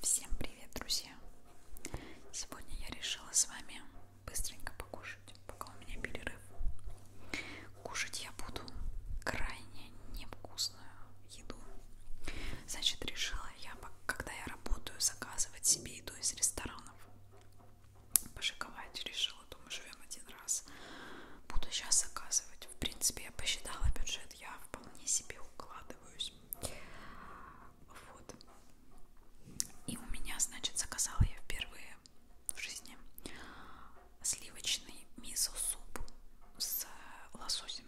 Всем привет, друзья! Сегодня я решила с вами быстренько покушать, пока у меня перерыв. Кушать я буду крайне невкусную еду. Значит, решила я, когда я работаю, заказывать себе еду из ресторанов. Пошиковать решила, думаю, живем один раз. Буду сейчас заказывать. В принципе, я посчитала бюджет, я вполне себе укладываюсь короче. Вот. И у меня, значит, заказала я впервые в жизни сливочный мисо-суп с лососем.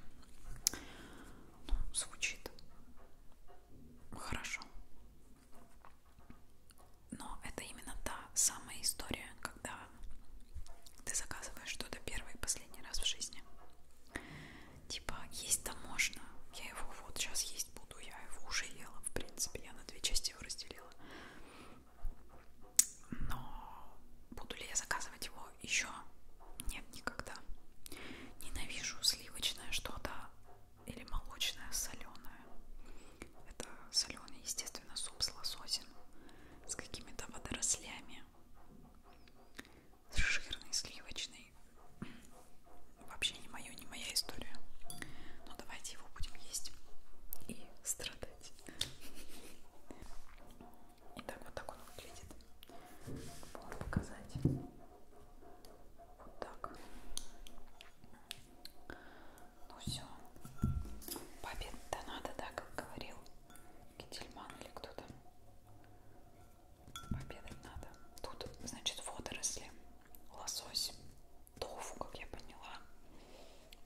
Ну, звучит хорошо. Но это именно та самая история, когда ты заказываешь что-то первый и последний раз в жизни. Типа, есть-то можно. Я его вот сейчас есть буду. Я его уже ела, в принципе. Я на две части его разделила. Но буду ли я заказывать его еще? Нет, никогда. Ненавижу сливочное что-то или молочное соленое. Это соленый, естественно, суп с лососем, с какими-то водорослями жирный, сливочный. Вообще не мое, не моя история. Но давайте его будем есть и страдать. Итак, вот так он выглядит. Могу показать. Вот так. Ну все. Победа надо, да, как говорил Кительман или кто-то. Обедать надо. Тут, значит, водоросли, лосось, тофу, как я поняла,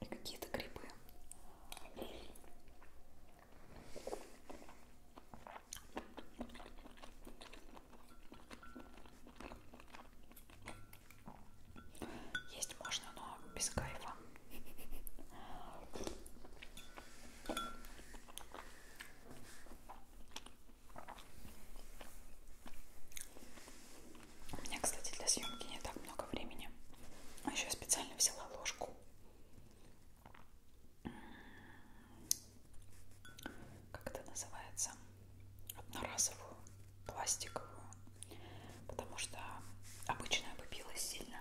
и какие-то грибы. Есть можно, но без кайфа. У меня, кстати, для съемки не так много времени. А еще я специально взяла ложку. Как это называется? Одноразовую, пластиковую. Потому что обычная побилась сильно.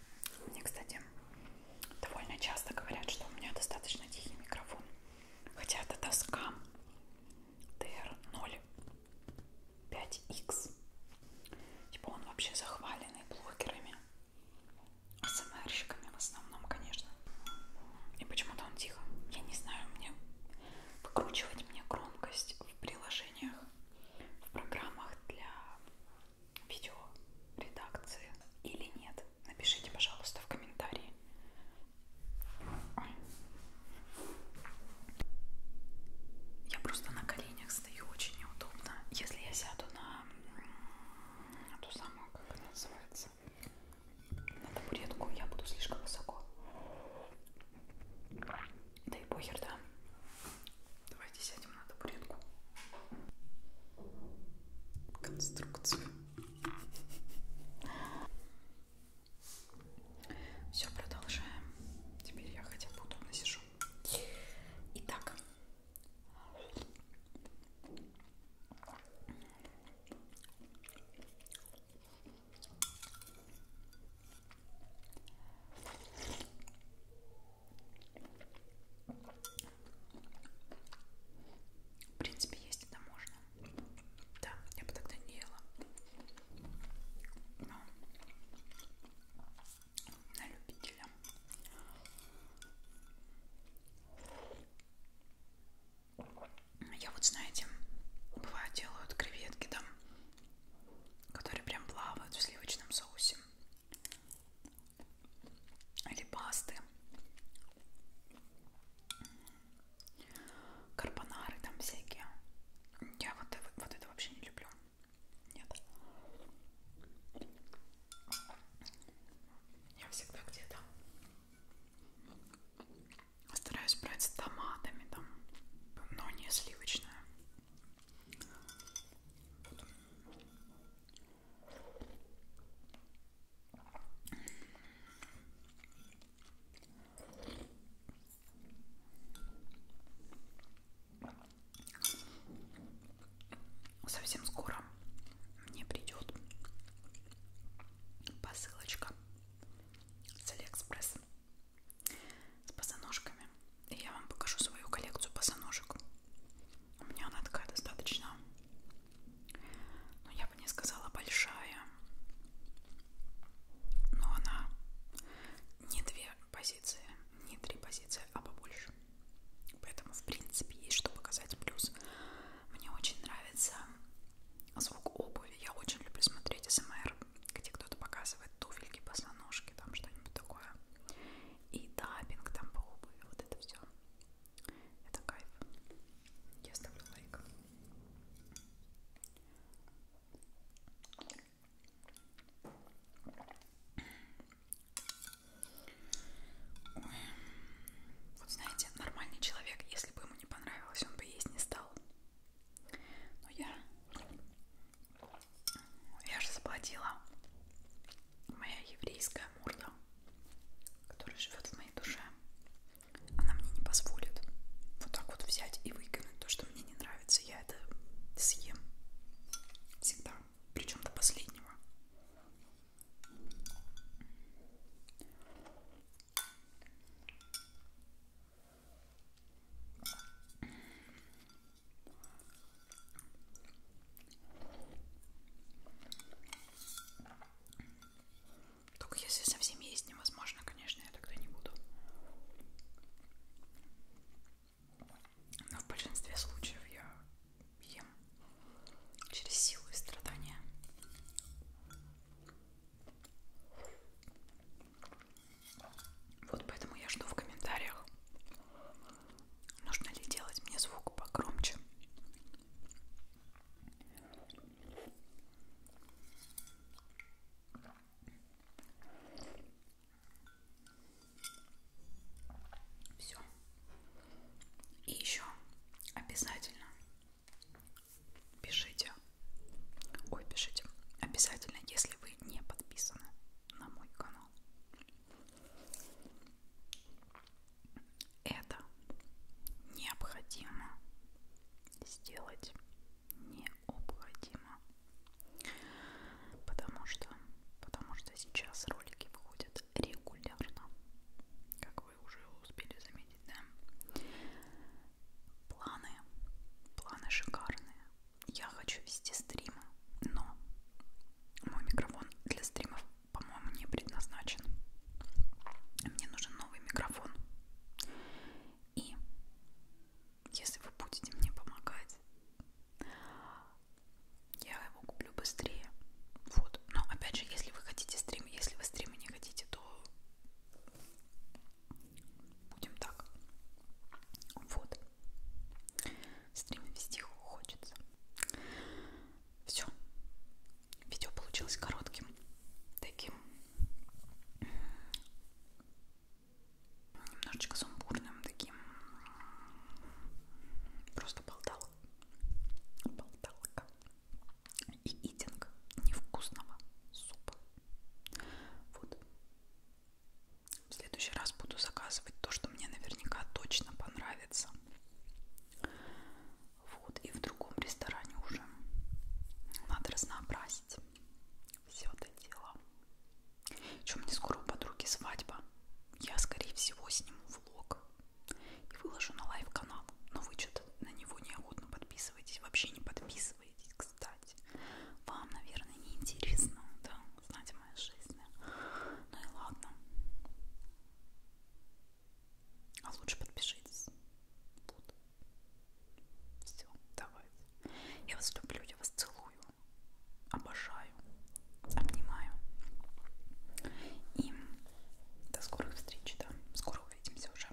Мне, кстати, довольно часто говорят, что у меня достаточно тихий микрофон. Хотя это доска TR05X. Типа он вообще захваленный блогерами. СМРщиками в основном, конечно. И почему-то он тихо. Я не знаю, мне выкручивать мне громкость в приложениях, в программах для видео редакции или нет. Напишите, пожалуйста, в комментарии. Я просто на коленях стою очень неудобно. Если я сяду на, на ту самую, как она называется, на табуретку, я буду слишком высоко. Да и похер, да. Давайте сядем на табуретку. Конструкцию. Все, продолжаем. Теперь я хотя бы удобно сижу. Итак. В принципе, есть это можно. Да, я бы тогда не ела. Но на любителя. Я вот, знаете, бывает делают креветки там которые прям плавают в сливочном соусе. Или пасты. Карбонары там всякие. Я вот, вот это вообще не люблю. Нет. Я всегда где-то стараюсь брать с томатами там, но не сливочное. Совсем скоро мне придет посылочка с Алиэкспресс с босоножками. И я вам покажу свою коллекцию босоножек. У меня она такая достаточно, ну я бы не сказала большая, но она не две позиции, не три позиции, а побольше. Поэтому, в принципе, есть что показать. Плюс мне очень нравится звук обуви. Я очень люблю смотреть СМР где кто-то показывает туфельки, босоножки, там что-нибудь такое. И дабинг там по обуви, вот это все. Это кайф. Я ставлю лайк. Ой. Вот знаете, нормальный человек, если бы ему не понравилось, он бы есть не стал. Но я я же заплатила. Моя еврейская морда, которая живет в моей душе, она мне не позволит вот так вот взять и выкинуть то, что мне не нравится. Я это съем всегда, причем до последнего. Только если совсем есть невозможно, конечно, я тогда не буду. Но в большинстве случаев я ем через силу и страдания. Вот поэтому я жду в комментариях, нужно ли делать мне звук погромче. Все. И еще обязательно пишите Ой, пишите обязательно, если вы не подписаны на мой канал. Это необходимо сделать необходимо, потому что, потому что сейчас ролики выходят регулярно, как вы уже успели заметить, да? Планы, планы шикарные. Я хочу вести стримы, но мой микрофон для стримов, по-моему, не предназначен. Мне нужен новый микрофон. И если вы будете мне помогать, я его куплю быстрее. Вот. Но опять же, если вы хотите стримы, если вы стримы не хотите, то Будем так. Вот. Стрим вести хочется. Все. Видео получилось коротким. Таким немножечко сумбурным, таким просто болтал. Болталка. И идинг невкусного супа. Вот. В следующий раз буду заказывать то, что мне наверняка точно понравится. Вот, и в другом ресторане уже. Надо разнообразить все это дело. Еще мне скоро у подруги свадьба. Я, скорее всего, сниму влог и выложу на лайв-канал. Но вы что-то на него неохотно подписываетесь. Вообще не подписываетесь, кстати кстати. Вам, наверное, не интересно, да, знать о моей жизни. Ну и ладно. А лучше подпишитесь. Вот. Все, давайте. Я вас люблю, я вас целую. Обожаю. Обнимаю. И до скорых встреч, да. Скоро увидимся уже.